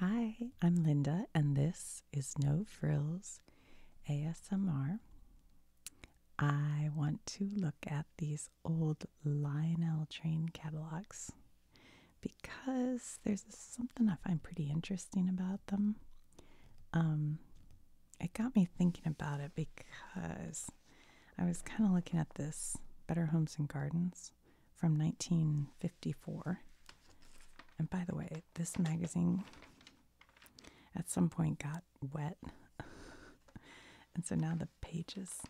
Hi, I'm Linda, and this is No Frills ASMR. I want to look at these old Lionel train catalogs because there's something I find pretty interesting about them. Um, it got me thinking about it because I was kind of looking at this Better Homes and Gardens from 1954. And by the way, this magazine at some point got wet. and so now the pages,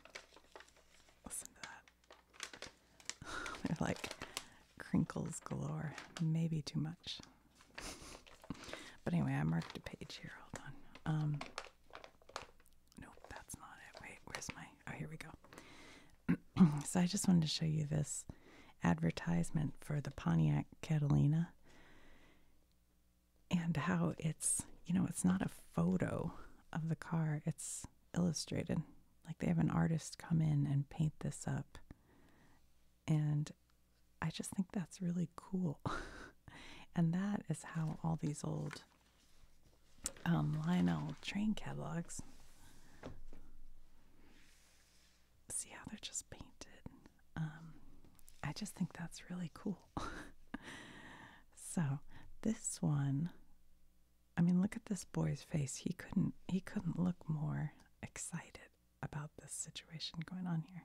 listen to that. They're like crinkles galore. Maybe too much. but anyway, I marked a page here. Hold on. Um, that's not it. Wait, where's my. Oh, here we go. so I just wanted to show you this advertisement for the Pontiac Catalina and how it's, you know, it's not a photo of the car, it's illustrated. Like they have an artist come in and paint this up. And I just think that's really cool. and that is how all these old um, Lionel train catalogs. See how they're just painted. Um, I just think that's really cool. so this one, I mean, look at this boy's face. He couldn't. He couldn't look more excited about this situation going on here.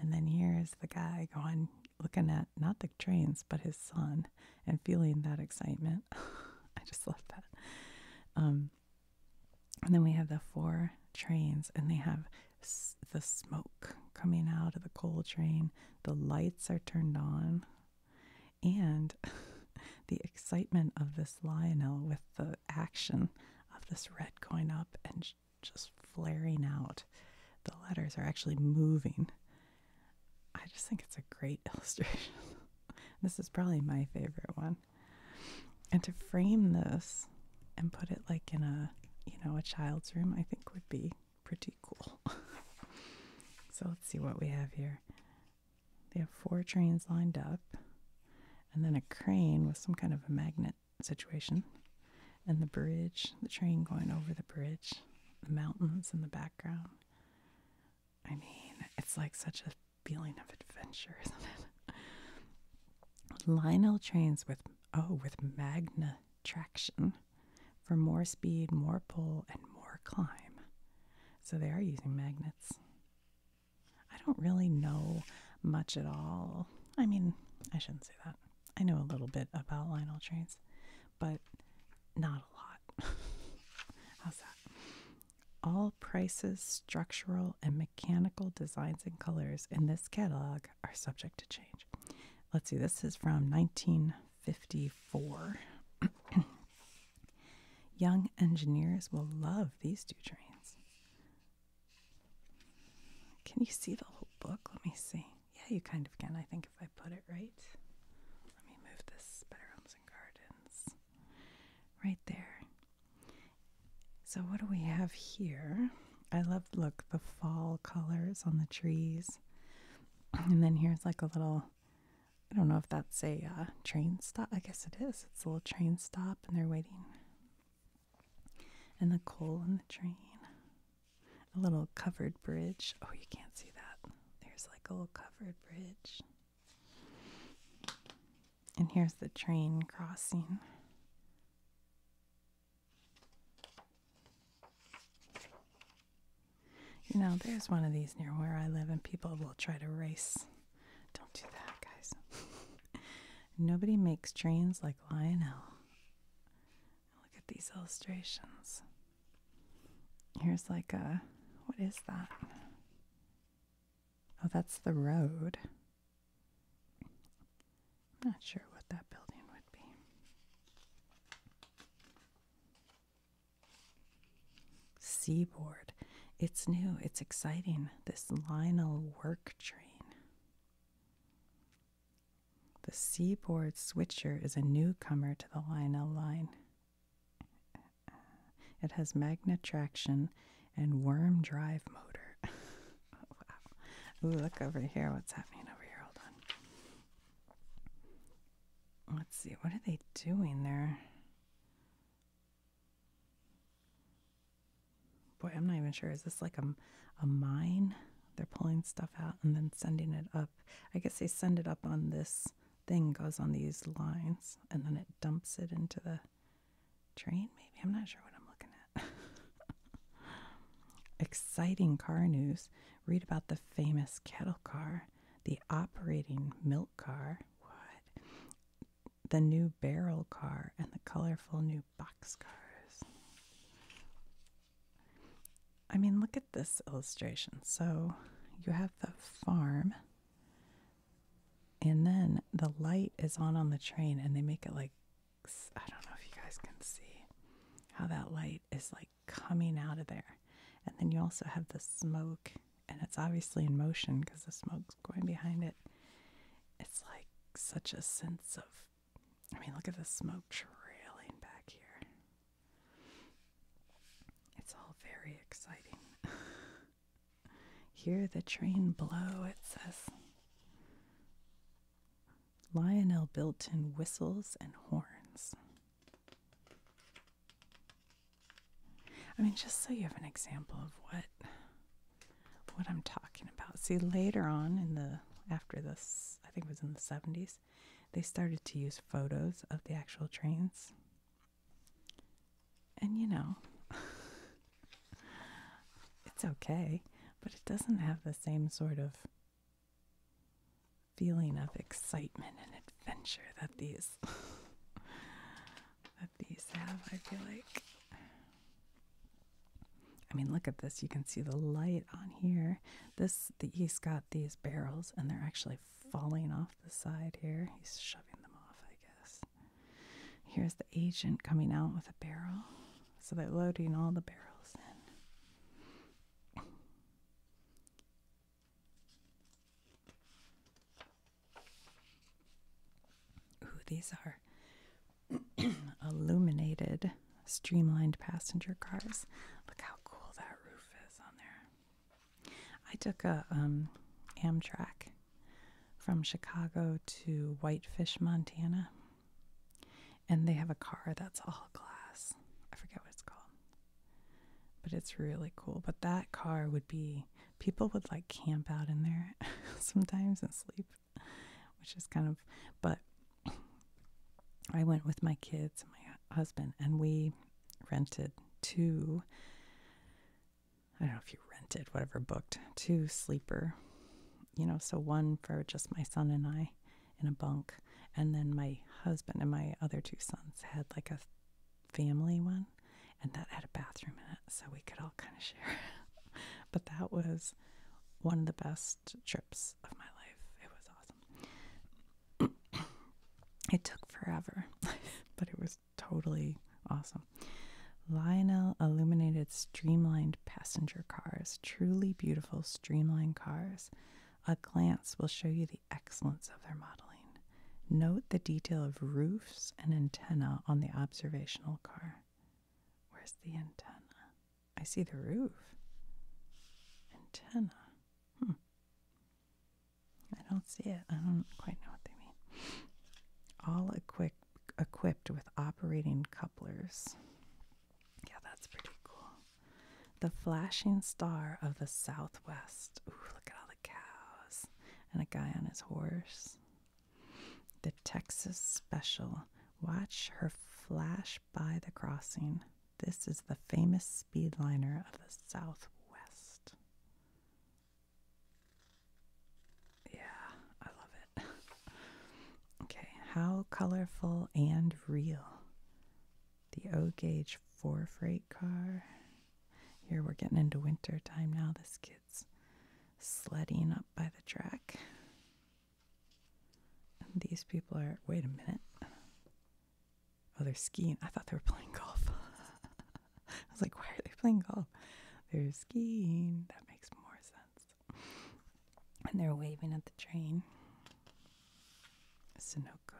And then here is the guy going, looking at not the trains, but his son and feeling that excitement. I just love that. Um, and then we have the four trains, and they have the smoke coming out of the coal train. The lights are turned on, and the excitement of this Lionel with the action of this red going up and just flaring out. The letters are actually moving I just think it's a great illustration. this is probably my favorite one. And to frame this and put it like in a, you know, a child's room, I think would be pretty cool. so let's see what we have here. They have four trains lined up, and then a crane with some kind of a magnet situation, and the bridge, the train going over the bridge, the mountains in the background. I mean, it's like such a feeling of adventure, isn't it? Lionel trains with oh, with magna traction for more speed, more pull, and more climb. So they are using magnets. I don't really know much at all. I mean, I shouldn't say that. I know a little bit about Lionel trains, but not a lot. How's that? All prices, structural, and mechanical designs and colors in this catalog are subject to change. Let's see, this is from 1954. Young engineers will love these two trains. Can you see the whole book? Let me see. Yeah, you kind of can, I think, if I put it right. Let me move this. Better and Gardens right there. So, what do we have here? I love, look, the fall colors on the trees. And then here's like a little, I don't know if that's a uh, train stop. I guess it is. It's a little train stop, and they're waiting. And the coal in the train. A little covered bridge. Oh, you can't see that. There's like a little covered bridge. And here's the train crossing. You know, there's one of these near where I live, and people will try to race. Don't do that, guys. Nobody makes trains like Lionel. Look at these illustrations. Here's like a what is that? Oh, that's the road. I'm not sure what that building would be. Seaboard. It's new, it's exciting. This Lionel work train. The Seaboard Switcher is a newcomer to the Lionel line it has magnet traction and worm drive motor. wow. look over here. What's happening over here? Hold on. Let's see. What are they doing there? Boy, I'm not even sure. Is this like a, a mine? They're pulling stuff out and then sending it up. I guess they send it up on this thing goes on these lines and then it dumps it into the train, maybe. I'm not sure what I'm looking at. Exciting car news. Read about the famous kettle car, the operating milk car, what? The new barrel car, and the colorful new box cars. I mean, look at this illustration. So you have the farm and then the light is on on the train, and they make it like I don't know if you guys can see how that light is like coming out of there. And then you also have the smoke, and it's obviously in motion because the smoke's going behind it. It's like such a sense of, I mean, look at the smoke trailing back here. It's all very exciting. Hear the train blow, it says. Lionel built in whistles and horns. I mean, just so you have an example of what what I'm talking about. See, later on in the after this, I think it was in the 70s, they started to use photos of the actual trains and you know, it's okay, but it doesn't have the same sort of feeling of excitement and adventure that these that these have, I feel like. I mean, look at this. You can see the light on here. This the East got these barrels and they're actually falling off the side here. He's shoving them off, I guess. Here's the agent coming out with a barrel. So they're loading all the barrels in. Ooh, these are illuminated, streamlined passenger cars. Look how cool that roof is on there. I took a um, Amtrak from Chicago to Whitefish, Montana, and they have a car that's all glass. I forget what it's called, but it's really cool. But that car would be people would like camp out in there sometimes and sleep, which is kind of. But I went with my kids and my husband, and we rented two I don't know if you rented, whatever, booked, two sleeper, you know, so one for just my son and I in a bunk. And then my husband and my other two sons had like a family one, and that had a bathroom in it, so we could all kind of share. but that was one of the best trips of my life. It was awesome. it took forever, but it was totally awesome. Lionel illuminated streamlined passenger cars, truly beautiful streamlined cars. A glance will show you the excellence of their modeling. Note the detail of roofs and antenna on the observational car. Where's the antenna? I see the roof. Antenna. Hmm. I don't see it. I don't quite know what they mean. All equip equipped with operating couplers. Yeah, that's pretty cool. The flashing star of the southwest. Ooh, look at all the cows. And a guy on his horse. The Texas special. Watch her flash by the crossing. This is the famous speedliner of the southwest. Yeah, I love it. okay, how colorful and real. The O gauge four freight car. Here we're getting into winter time now. This kid's sledding up by the track. And these people are, wait a minute. Oh, they're skiing. I thought they were playing golf. I was like, why are they playing golf? They're skiing. That makes more sense. And they're waving at the train. Sunoco.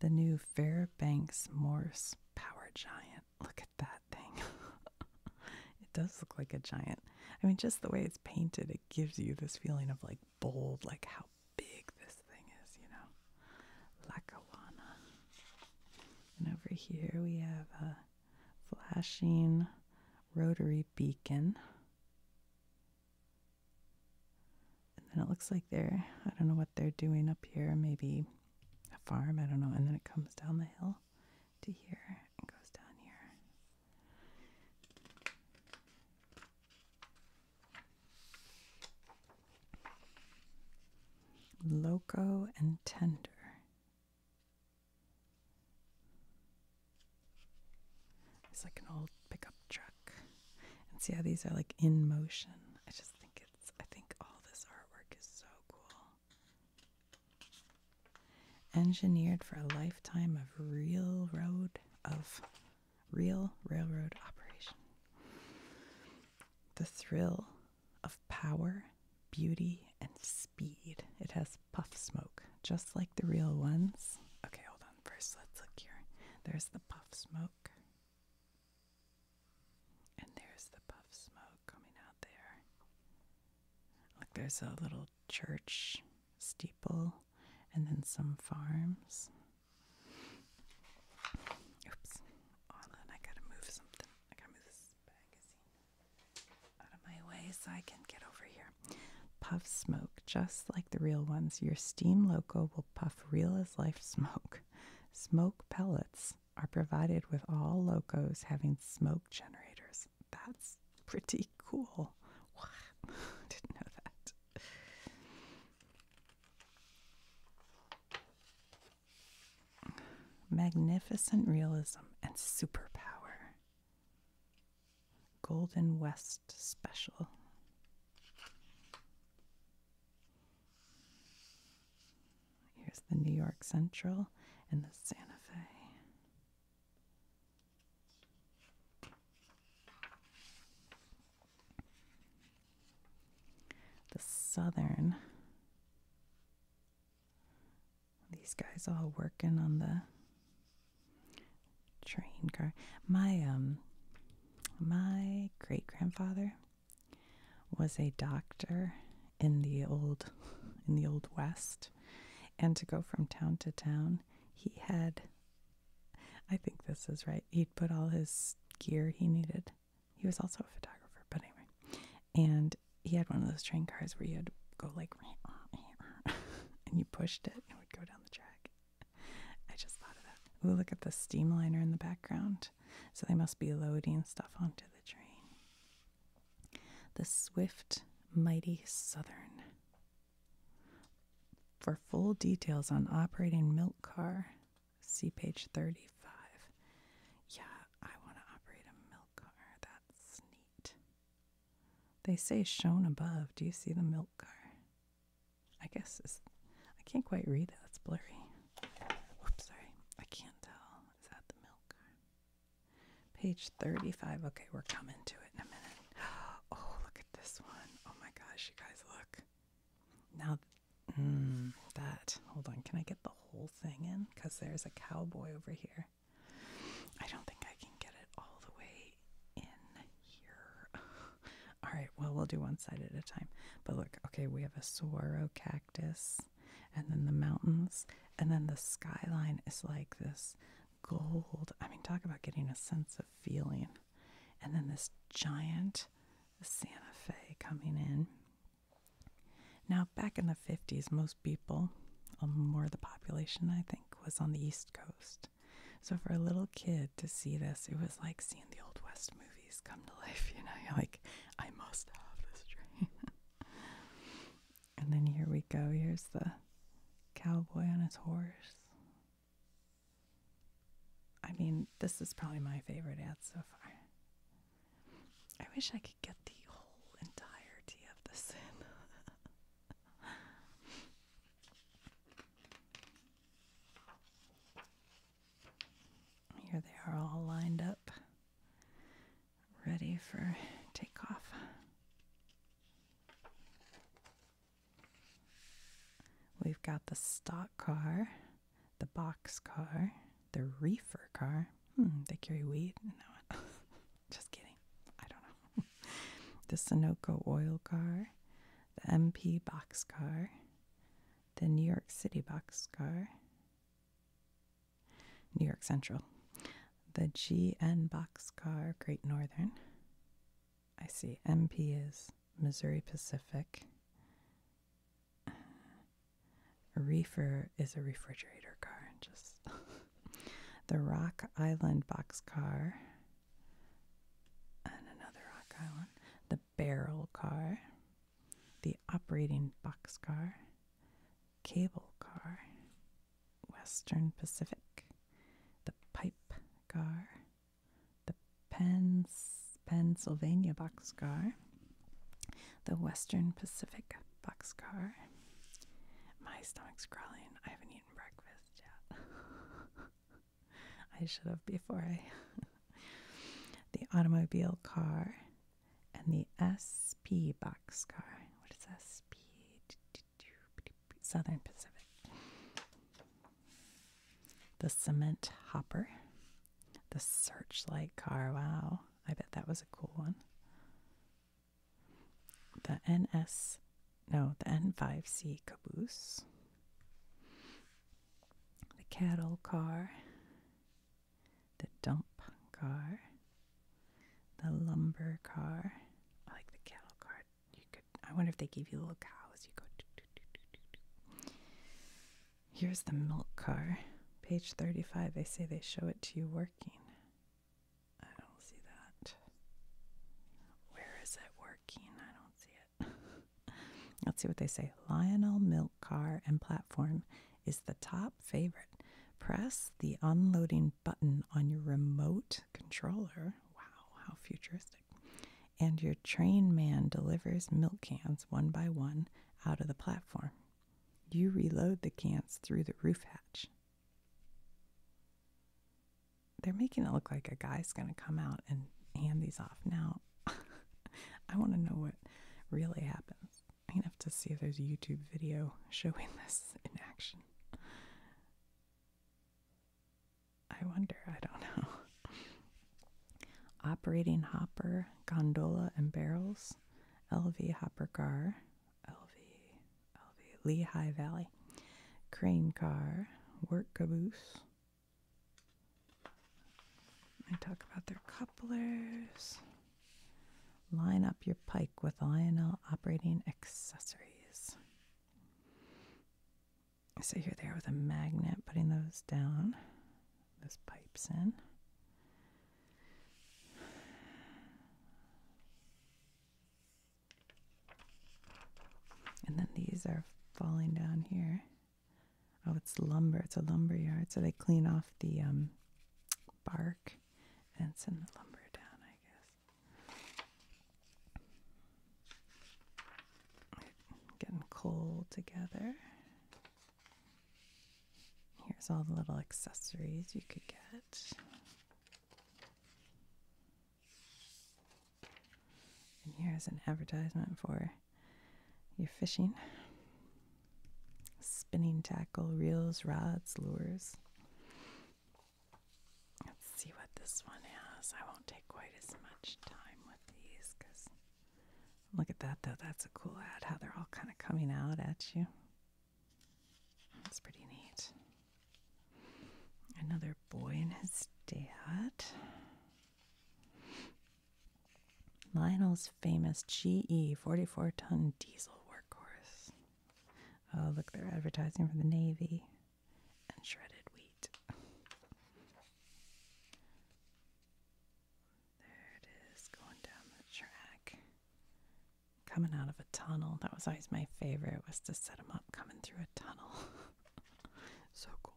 The new Fairbanks Morse power giant. Look at that thing. it does look like a giant. I mean, just the way it's painted, it gives you this feeling of like bold, like how big this thing is, you know. Lackawanna. And over here we have a flashing rotary beacon. And then it looks like they're, I don't know what they're doing up here, maybe a farm, I don't know. And then it comes down the hill to here and goes down here. Loco and tender. It's like an old pickup truck. And see how these are like in motion. I just think it's I think all this artwork is so cool. Engineered for a lifetime of real road of real railroad operation. The thrill of power, beauty, and speed. It has puff smoke, just like the real ones. Okay, hold on. First, let's look here. There's the puff smoke. And there's the puff smoke coming out there. Look, there's a little church steeple and then some farms. Oops. Hold I gotta move something. I gotta move this magazine out of my way so I can get over here. Puff smoke, just like the real ones. Your steam loco will puff real as life smoke. Smoke pellets are provided with all locos having smoke generators. That's pretty cool. Didn't know that. Magnificent realism and superpower. Golden West special. Here's the New York Central and the Santa Fe. The southern. These guys all working on the train car. My um my great grandfather was a doctor in the old in the old west and to go from town to town he had I think this is right. He'd put all his gear he needed. He was also a photographer, but anyway. And he had one of those train cars where you had to go like, and you pushed it and it would go down the track. I just thought of that. Ooh, look at the steamliner in the background. So they must be loading stuff onto the train. The swift, mighty southern. For full details on operating milk car, see page 35. Yeah, I want to operate a milk car. That's neat. They say shown above. Do you see the milk car? I guess it's, I can't quite read that. That's blurry. Oops, sorry. I can't tell. Is that the milk car? Page 35. Okay, we're coming to it in a minute. Oh, look at this one. Oh my gosh, you guys, look. Now, mm, that, hold on, can I get the whole thing in? Because there's a cowboy over here. I don't think I can get it all the way in here. all right, well, we'll do one side at a time. But look, okay, we have a saguaro cactus, and then the mountains, and then the skyline is like this gold. I mean, talk about getting a sense of feeling. And then this giant got Santa Fe coming in. Now, back in the 50s, most people, um, more of the population, I think, was on the East Coast. So for a little kid to see this, it was like seeing the Old West movies come to life. You know, like, I must have this dream. and then here we go. Here's the cowboy on his horse. I mean, this is probably my favorite ad so far. I wish I could get the whole entirety of this in. Here they are all lined up, ready for takeoff. We've got the stock car, the box car, the reefer car. Hmm, they carry weed. just kidding. I don't know. the Sunoco oil car, the MP box car, the New York City box car, New York Central, the GN box car, Great Northern. I see MP is Missouri Pacific. reefer is a refrigerator car. Just the Rock Island boxcar and another Rock Island. The barrel car, the operating box car. cable car, Western Pacific, the pipe car, the Pens Pennsylvania boxcar, the Western Pacific boxcar. My stomach's crawling. I haven't eaten breakfast yet. I should have before I. the automobile car and the SP boxcar. What is SP? Southern Pacific the cement hopper, the searchlight car. Wow, I bet that was a cool one. The NS, no, the N5C caboose, the cattle car, the dump car, the lumber car. I like the cattle car. You could. I wonder if they give you little cows. You go. Here's the milk car. Page 35, they say they show it to you working. I don't see that. Where is it working? I don't see it. Let's see what they say. Lionel Milk Car and Platform is the top favorite. Press the unloading button on your remote controller. Wow, how futuristic and your train man delivers milk cans one by one out of the platform. You reload the cans through the roof hatch. They're making it look like a guy's going to come out and hand these off. Now, I want to know what really happens. I'm going to have to see if there's a YouTube video showing this in action. I wonder, I don't know. Operating hopper, gondola, and barrels. LV hopper car, LV, LV, Lehigh Valley. Crane car, work caboose. I talk about their couplers. Line up your pike with Lionel operating accessories. So here they are with a magnet, putting those down, those pipes in. And then these are falling down here. Oh, it's lumber. It's a lumber yard. So they clean off the um, bark and send the lumber down, I guess. Getting cold together. Here's all the little accessories you could get. And here's an advertisement for your fishing spinning tackle, reels, rods, lures. Let's see what this one has. I won't take quite as much time with these because Look at that, though. That's a cool ad, how they're all kind of coming out at you. That's pretty neat. Another boy and his dad. Lionel's famous GE 44 ton diesel workhorse. Oh, look, they're advertising for the Navy and shredded wheat. There it is, going down the track. Coming out of a tunnel. That was always my favorite, was to set them up coming through a tunnel. so cool.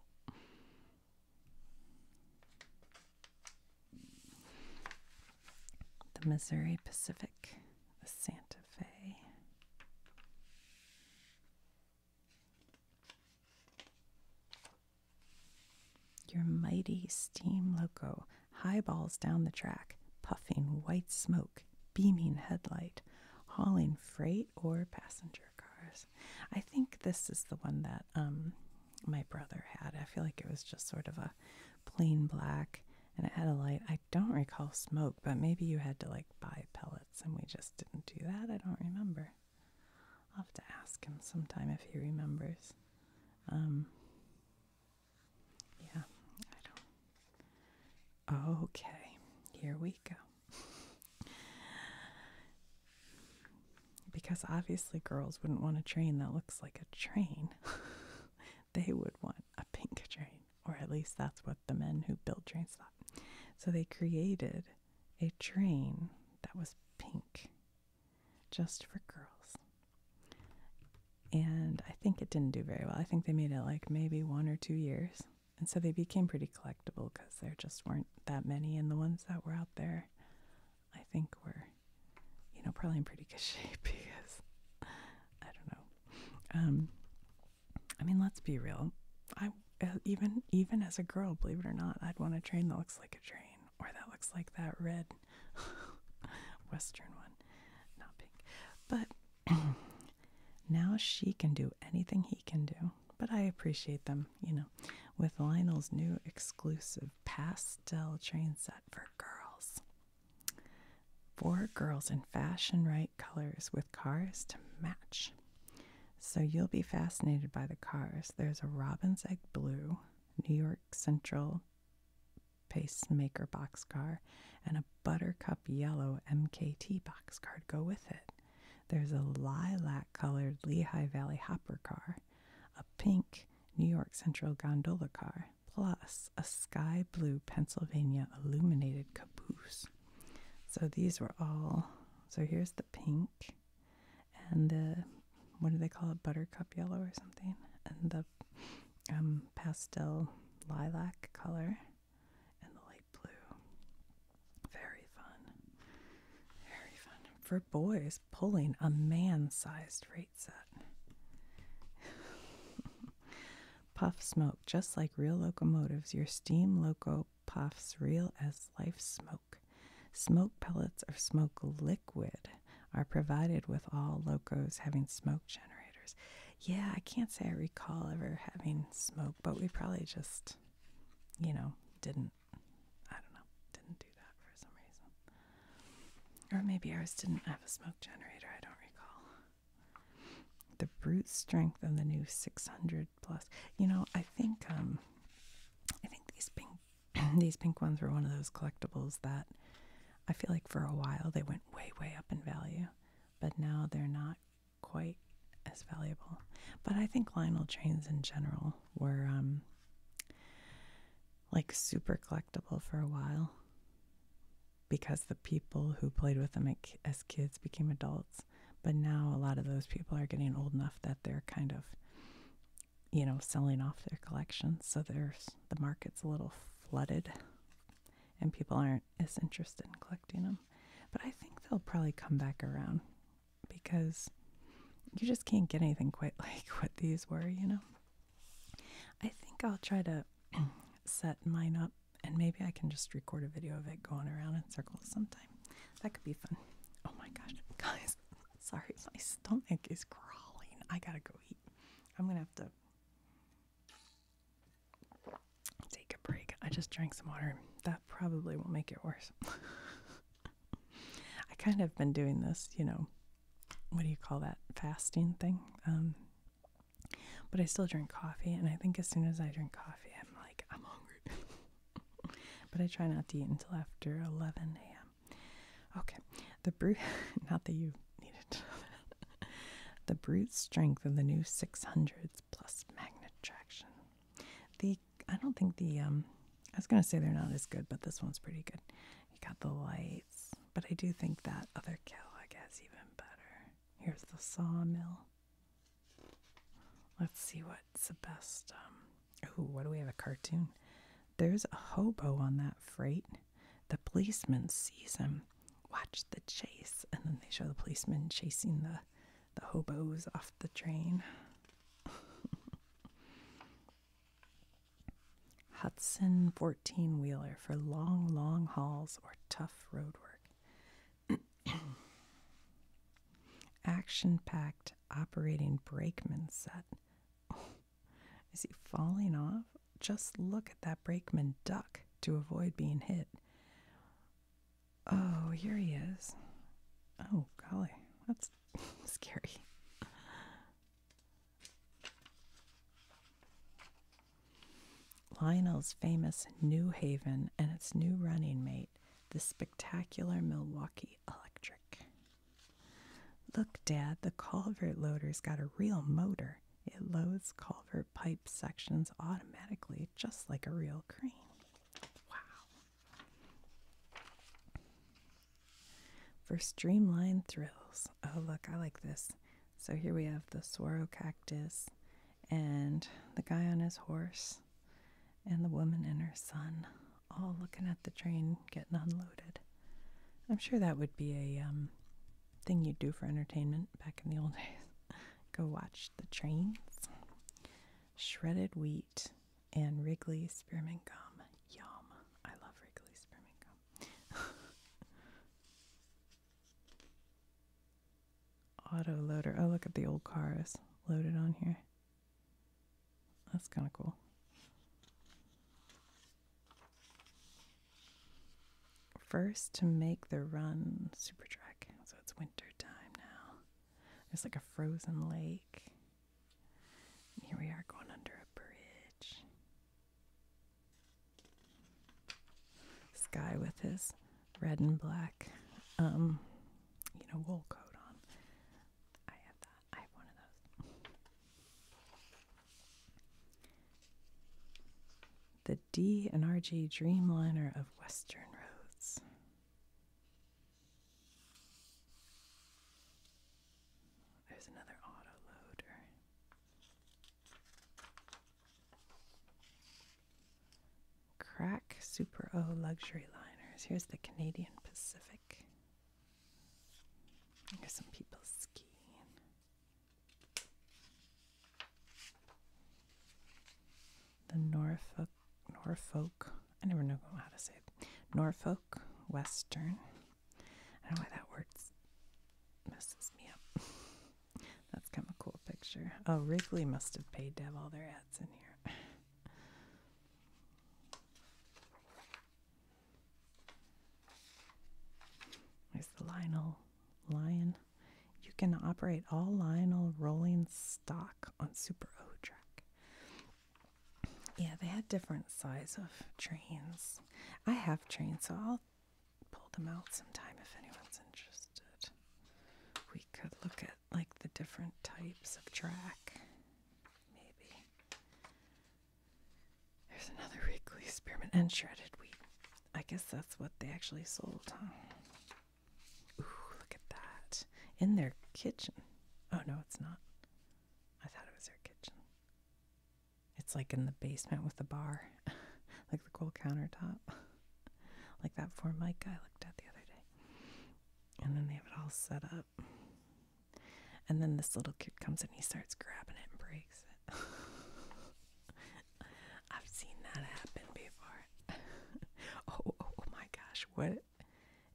The Missouri Pacific, the Santa Fe. Your mighty steam loco highballs down the track, puffing white smoke, beaming headlight, hauling freight or passenger cars. I think this is the one that um, my brother had. I feel like it was just sort of a plain black and it had a light. I don't recall smoke, but maybe you had to like buy pellets and we just didn't do that. I don't remember. I'll have to ask him sometime if he remembers. Um, yeah, I don't. Okay, here we go. because obviously, girls wouldn't want a train that looks like a train. they would want a pink train, or at least that's what the men who built trains thought. So they created a train that was pink just for girls. And I think it didn't do very well. I think they made it like maybe one or two years. And so they became pretty collectible because there just weren't that many. And the ones that were out there, I think, were, you know, probably in pretty good shape because I don't know. Um, I mean, let's be real. I even even as a girl, believe it or not, I'd want a train that looks like a train or that looks like that red western one, not pink. But now she can do anything he can do. But I appreciate them, you know, with Lionel's new exclusive pastel train set for girls. Four girls in fashion right colors with cars to match. So you'll be fascinated by the cars. There's a Robin's Egg Blue, New York Central Pacemaker box car, and a Buttercup Yellow MKT boxcar to go with it. There's a lilac colored Lehigh Valley Hopper car, a pink New York Central gondola car, plus a sky blue Pennsylvania illuminated caboose. So these were all, so here's the pink and the uh, what do they call it? Buttercup yellow or something, and the um, pastel lilac color and the light blue. Very fun. Very fun. For boys, pulling a man sized rate set. Puff smoke. Just like real locomotives, your steam loco puffs real as life smoke smoke. pellets or smoke liquid are provided with all locos having smoke generators. Yeah, I can't say I recall ever having smoke, but we probably just, you know, didn't. I don't know, didn't do that for some reason. Or maybe ours didn't have a smoke generator, I don't recall. The brute strength of the new 600 plus. You know, I think um, I think these big these pink ones were one of those collectibles that I feel like for a while they went way, way up in value, but now they're not quite as valuable. But I think Lionel trains in general were um, like super collectible for a while because the people who played with them as kids became adults. But now a lot of those people are getting old enough that they're kind of you know, selling off their collections. So there's the market's a little flooded and people aren't as interested in collecting them. But I think they'll probably come back around because you just can't get anything quite like what these were, you know. I think I'll try to set mine up and maybe I can just record a video of it going around in circles sometime. That could be fun. Oh my gosh, guys. Sorry, my stomach is crawling. I gotta go eat. I'm gonna have to take a break. I just drank some water. That probably will make it worse. I kind of been doing this, you know, what do you call that fasting thing? Um, but I still drink coffee, and I think as soon as I drink coffee, I'm like, I'm hungry. but I try not to eat until after 11 a.m. Okay, the brute, not that you need it the brute strength of the new 600s plus magnet traction. The, I don't think the, um, I was going to say they're not as good, but this one's pretty good. You got the lights, but I do think that other catalog has even better. Here's the sawmill. Let's see what what's the best? Um, oh, what do we have? A cartoon? There's a hobo on that freight. The policeman sees him. Watch the chase, and then they show the policeman chasing the the hobos off the train. Hudson 14 wheeler for long, long hauls or tough road work. Action packed operating brakeman set. is he falling off? Just look at that brakeman duck to avoid being hit. Oh, here he is. Oh, golly, that's scary. Lionel's famous New Haven and its new running mate, the spectacular Milwaukee Electric. Look, Dad, the culvert loader's got a real motor. It loads culvert pipe sections automatically, just like a real crane. Wow. For streamlined thrills. Oh, look, I like this. So here we have the swaro cactus and the guy on his horse and the woman and her son all looking at the train getting unloaded. I'm sure that would be a um, thing you'd do for entertainment back in the old days. Go watch the trains. Shredded wheat and Wrigley spearmint gum. Yum. I love Wrigley spearmint gum. Auto loader. Oh, look at the old cars loaded on here. That's kind of cool. First to make the run super trek. So it's winter time now. There's like a frozen lake. here we are going under a bridge. This guy with his red and black um you know wool coat on. I have one of those. The D and RG Dreamliner of Western Roads. There's another auto loader. Crack Super O luxury liners. Here's the Canadian Pacific. There's some people skiing. The Norfolk, Norfolk. I never know how to say it. Norfolk Western. I don't know why that word messes me up. That's kind of a cool picture. Oh, Wrigley must have paid to have all their ads in here. Where's the Lionel? Lion. You can operate all Lionel rolling stock on Super O track. Yeah, they had different size of trains. I have trains, so I'll pull them out sometime if anyone's interested. We could look at like the different types of track. Maybe. There's another Wrigley spearmint and shredded wheat. I guess that's what they actually sold, Ooh, look at that. In their kitchen. Oh, no, it's not. I thought it was their kitchen. It's like in the basement with the bar, like the cool countertop, like that for Mike I looked at the other day. And then they have it all set up. And then this little kid comes and he starts grabbing it and breaks it. I've seen that happen before. Oh, oh, oh my gosh, what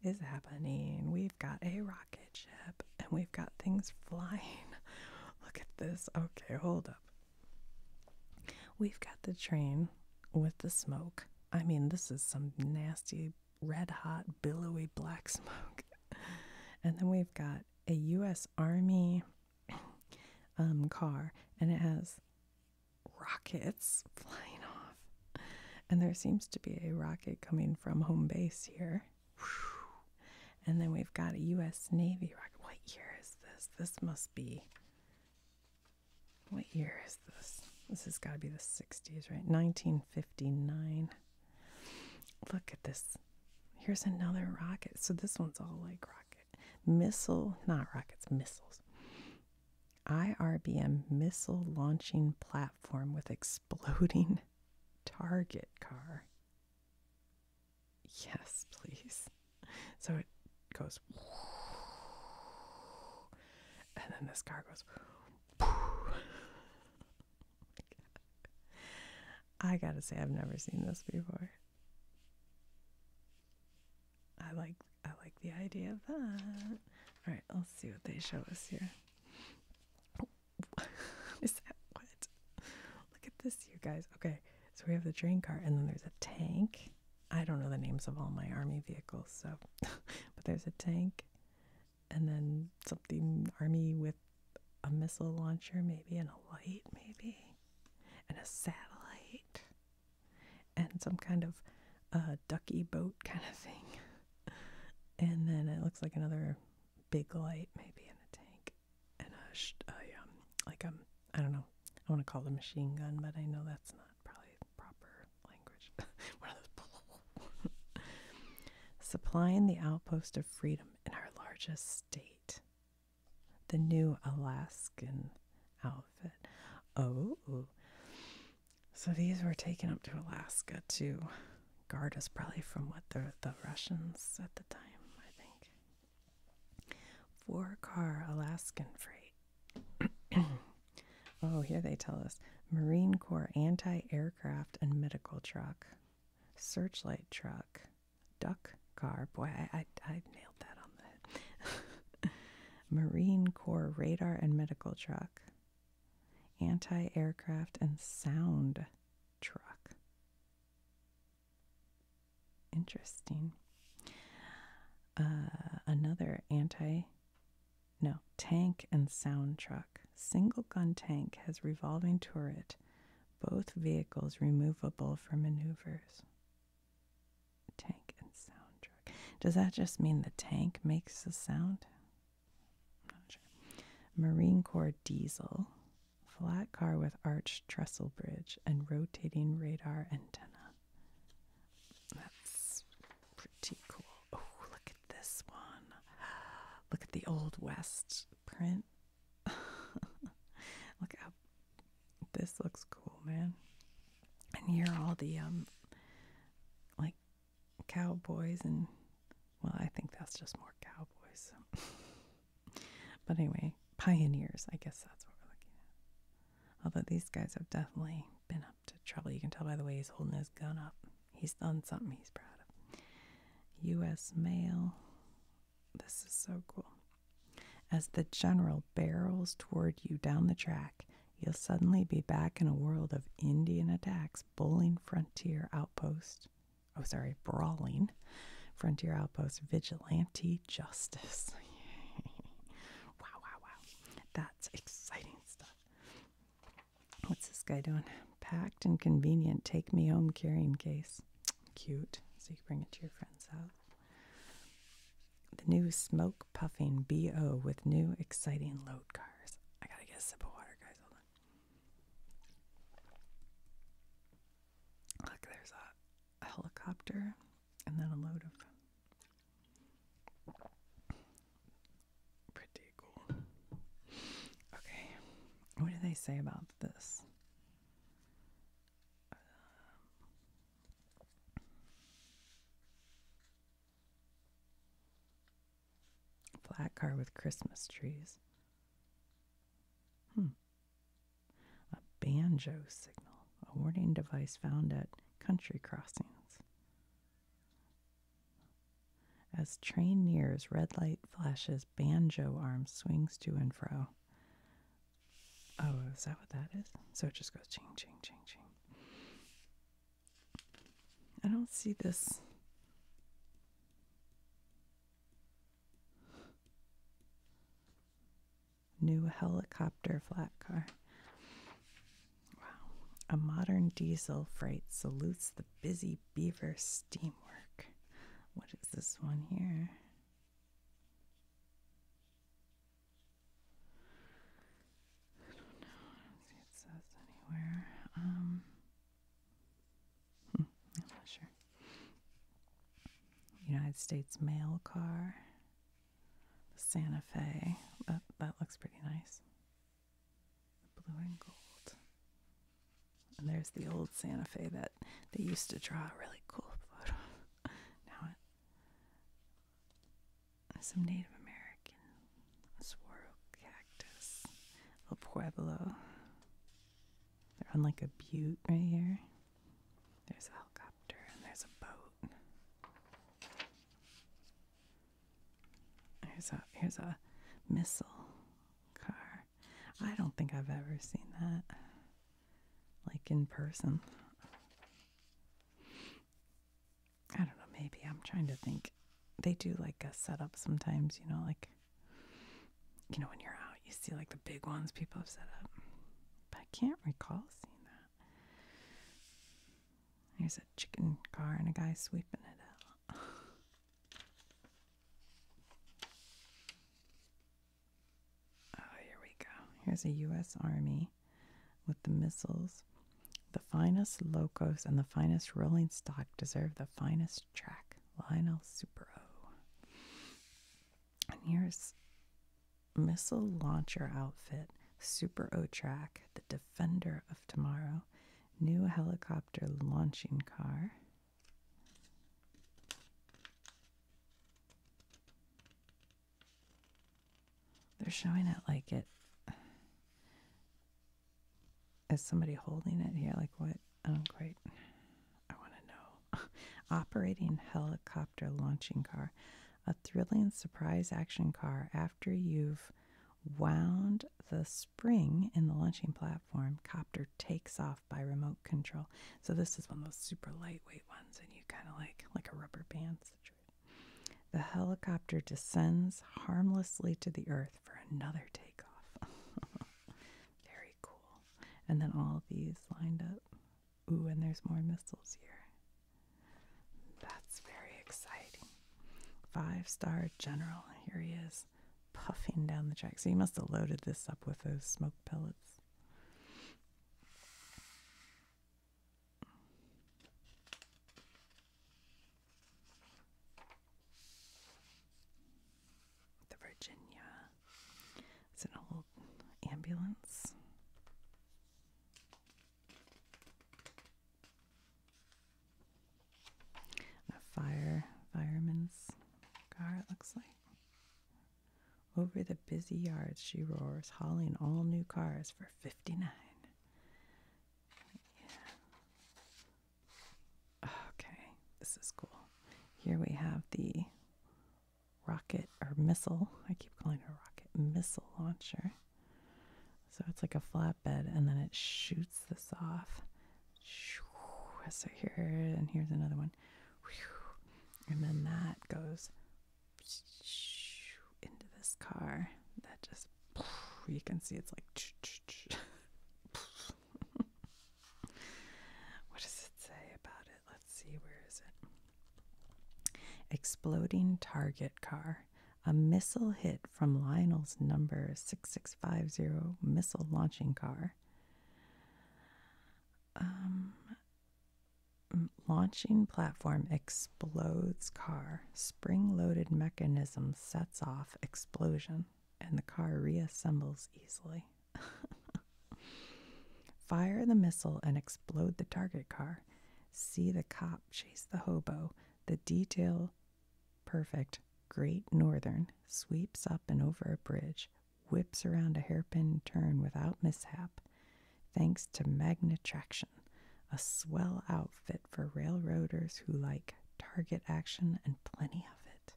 is happening? We've got a rocket ship and we've got things flying. Look at this. Okay, hold up. We've got the train with the smoke. I mean, this is some nasty red hot, billowy black smoke. and then we've got a U.S. Army um, car, and it has rockets flying off. And there seems to be a rocket coming from home base here. And then we've got a U.S. Navy rocket. What year is this? This must be. What year is this? This has got to be the 60s, right? 1959. Look at this. Here's another rocket. So this one's all like rocket. Missile, not rockets, missiles. IRBM missile launching platform with exploding target car. Yes, please. So it goes, and then this car goes, I gotta say, I've never seen this before. I like I like the idea of that. All right, let's see what they show us here. that what? Look at this, you guys. Okay, so we have the train car, and then there's a tank. I don't know the names of all my army vehicles, so but there's a tank, and then something army with a missile launcher, maybe, and a light, maybe, and a satellite, and some kind of a uh, ducky boat kind of thing. and then it looks like another big light, maybe, in a tank, and a, sh- um, like um, I don't know, I want to call the machine gun, but I know that's not probably proper language. supplying the outpost of freedom in our largest state. The new Alaskan outfit. Oh, so these were taken up to Alaska to guard us probably from what the, Russians at the time, I think. Four car Alaskan freight. oh, here they tell us Marine Corps anti air aircraft and medical truck, searchlight truck, duck car. Boy, I, I, nailed that on the Marine Corps radar and medical truck, anti aircraft and sound truck. Interesting. Uh, another anti no, tank and sound truck. Single gun tank has revolving turret, both vehicles removable for maneuvers. Tank and sound truck. Does that just mean the tank makes a sound? Marine Corps diesel, flat car with arched trestle bridge and rotating radar antenna. That's pretty cool. Oh, look this one. Look at the Old West print. Look how this looks cool, man. And here are all the um like cowboys and well, I think that's just more cowboys. but anyway, pioneers, I guess that's what we're looking at. Although these guys have definitely been up to trouble. You can tell by the way he's holding his gun up. He's done something he's proud of. U.S. Mail. This is so cool. As the general barrels toward you down the track, you'll suddenly be back in a world of Indian attacks, bowling frontier outpost. Oh, sorry, brawling frontier outpost, vigilante justice. wow, wow, wow. That's exciting stuff. What's this guy doing? Packed and convenient. Take me home carrying case. Cute. So you can bring it to your friend's house. The new smoke puffing BO with new exciting load cars. I gotta get a sip of water, guys. Hold on. Look, there's a helicopter and then a load of pretty cool. Okay, what do they say about this? Um, flat car with Christmas trees. Hmm. A banjo signal, a warning device found at country crossings. As train nears, red light flashes, banjo arm swings to and fro. Oh, is that what that is? So it just goes ching, ching, ching, ching. I don't see this. New helicopter flat car. Wow. A modern diesel freight salutes the busy Lady Beaver Steamwork. What is this one here? I don't know. see it says anywhere. Um, I'm not sure. United States mail car. the Santa Fe. That, that looks pretty nice. Blue and gold. And there's the old Santa Fe that they used to draw a really cool photo. now it, some Native American saguaro cactus. El Pueblo. They're on like a butte right here. There's a helicopter and there's a boat. Here's a here's a missile car. I don't think I've ever seen that like in person. I don't know, maybe I'm trying to think. They do like a setup sometimes, you know, like you know when you're out, you see like the big ones people have set up. But I can't recall seeing that. There's a chicken car and a guy sweeping it out. Oh, here we go. Here's a U.S. Army with the missiles. The finest locos and the finest rolling stock deserve the finest track. Lionel Super O. And here's missile launcher outfit, Super O track, the defender of tomorrow, new helicopter launching car. They're showing it like it is somebody holding it here. Like what? Oh, I don't quite. I want to know. Operating helicopter launching car, a thrilling surprise action car. After you've wound the spring in the launching platform, copter takes off by remote control. So this is one of those super lightweight ones, and you kind of like like a rubber band The helicopter descends harmlessly to the earth for another takeoff. Very cool. And then all these lined up. Ooh, and there's more missiles here. That's very exciting. Five star general. Here he is puffing down the track. So you must have loaded this up with those smoke pellets. The Virginia. It's an old ambulance. A fire fireman's car, it looks like. Over the busy yards she roars, hauling all new cars for fifty nine. Okay, this is cool. Here we have the rocket or missile. I keep calling it a rocket missile launcher. So it's like a flatbed, and then it shoots this off so here, and here's another one. And then that goes into this car. That just, you can see it's like. what does it say about it? Let's see, where is it? Exploding target car. A missile hit from Lionel's number 666 650 missile launching car. Um, launching platform explodes car. Spring loaded mechanism sets off explosion, and the car reassembles easily. Fire the missile and explode the target car. See the cop chase the hobo. The detail Perfect. Great Northern sweeps up and over a bridge, whips around a hairpin turn without mishap, thanks to magnetraction, a swell outfit for railroaders who like target action and plenty of it.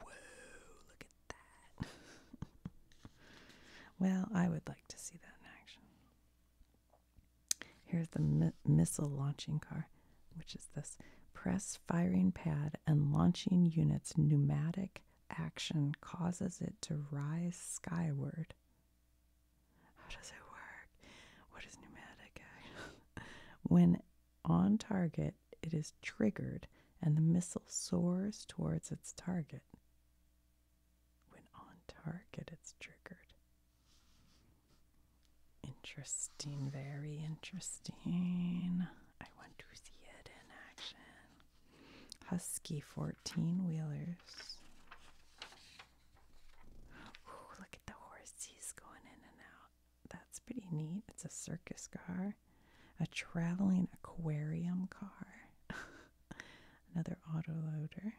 Whoa, look at that. well, I would like to see that in action. Here's the missile launching car which is this press firing pad and launching unit's pneumatic action causes it to rise skyward. How does it work? What is pneumatic when on target, it is triggered and the missile soars towards its target. When on target, it's triggered. Interesting, very interesting. I want to see it in action. Husky 14 wheelers. look at the horses going in and out. That's pretty neat. It's a circus car, a traveling aquarium car, another autoloader.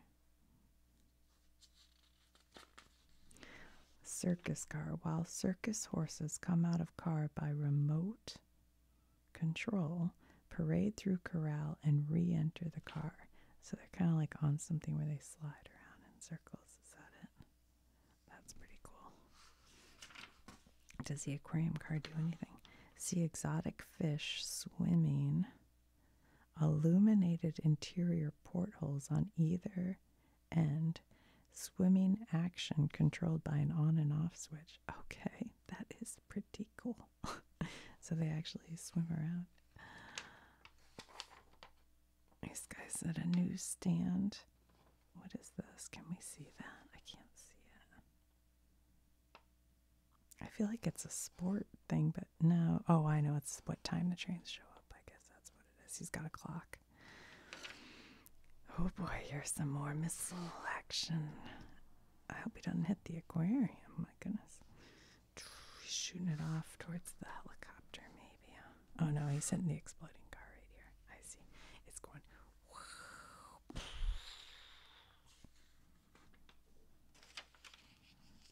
Circus car. While circus horses come out of car by remote control, parade through corral, and re enter the car. So they're kind of like on something where they slide around in circles. Is that it? That's pretty cool. Does the aquarium car do anything? See exotic fish swimming illuminated interior portholes on either and swimming action controlled by an on and off switch. Okay, that is pretty cool. so they actually swim around. These guys at a newsstand. What is this? Can we see that? I can't see it. I feel like it's a sport thing, but no. Oh, I know it's what time the trains show up. I guess that's what it is. He's got a clock. Oh boy, here's some more missile action. I hope he doesn't hit the aquarium. My goodness. He's shooting it off towards the helicopter, maybe. Oh no, he's hitting the exploding car right here. I see. It's going.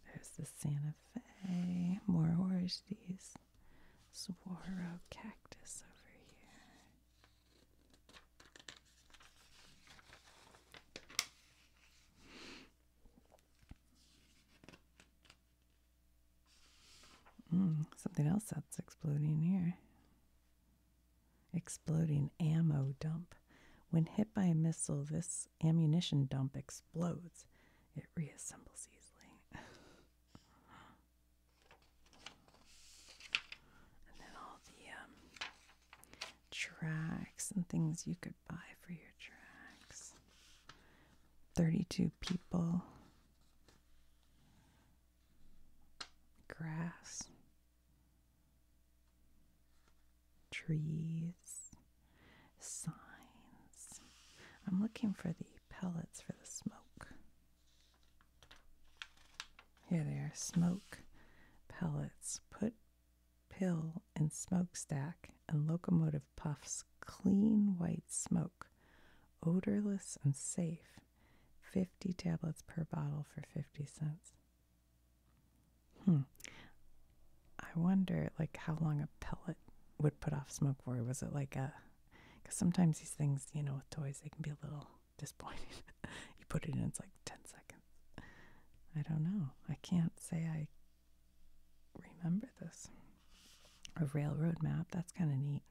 There's the Santa Fe. More orange saguaro cactus over here. Mm, something else that's exploding here. Exploding ammo dump. When hit by a missile, this ammunition dump explodes. It reassembles easily. And then all the um, tracks and things you could buy for your tracks. 32 people. Grass. Trees. Signs. I'm looking for the pellets for the smoke. Here they are smoke pellets. Put pill in smokestack and locomotive puffs clean white smoke, odorless and safe. 50 tablets per bottle for 50 cents. Hmm. I wonder like how long a pellet would put off smoke for. Was it like a because sometimes these things, you know, with toys, they can be a little disappointing. you put it in, it's like 10 seconds. I don't know. I can't say I remember this. A railroad map, that's kind of neat.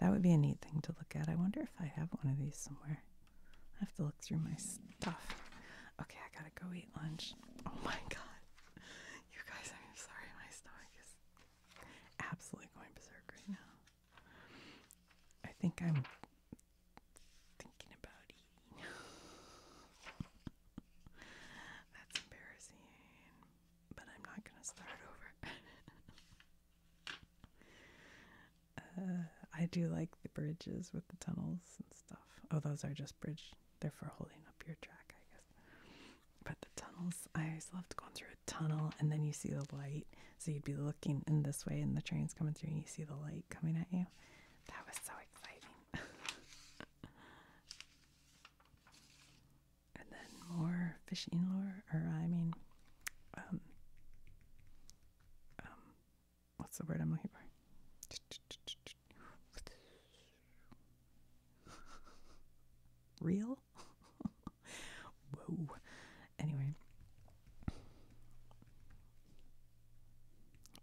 That would be a neat thing to look at. I wonder if I have one of these somewhere. I have to look through my stuff. Okay, I gotta go eat lunch. Oh my god. You guys, I'm sorry, my stomach is absolutely going berserk right now. I think I'm thinking about eating. That's embarrassing, but I'm not going to start over. Uh, I do like the bridges with the tunnels and stuff. Oh, those are just bridge. They're for holding up your track, I guess. But the tunnels, I always loved going through tunnel and then you see the light. So you'd be looking in this way and the train's coming through and you see the light coming at you. That was so exciting. and then more fishing lure, or I mean, um, um, what's the word I'm looking for? Real? Whoa. Anyway.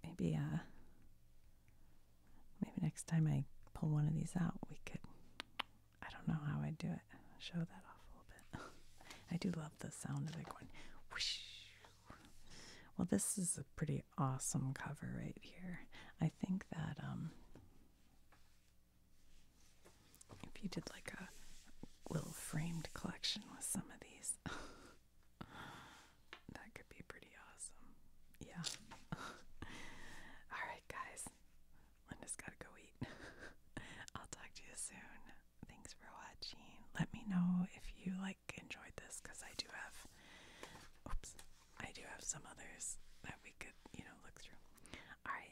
Maybe uh maybe next time I pull one of these out we could I don't know how I'd do it. Show that off a little bit. I do love the sound of it One, whoosh. Well this is a pretty awesome cover right here. I think that um if you did like a little framed collection with some of these, that could be pretty awesome. Yeah. All right, guys. Linda's got to go eat. I'll talk to you soon. Thanks for watching. Let me know if you like enjoyed this cuz I do have oops. I do have some others that we could, you know, look through. All right.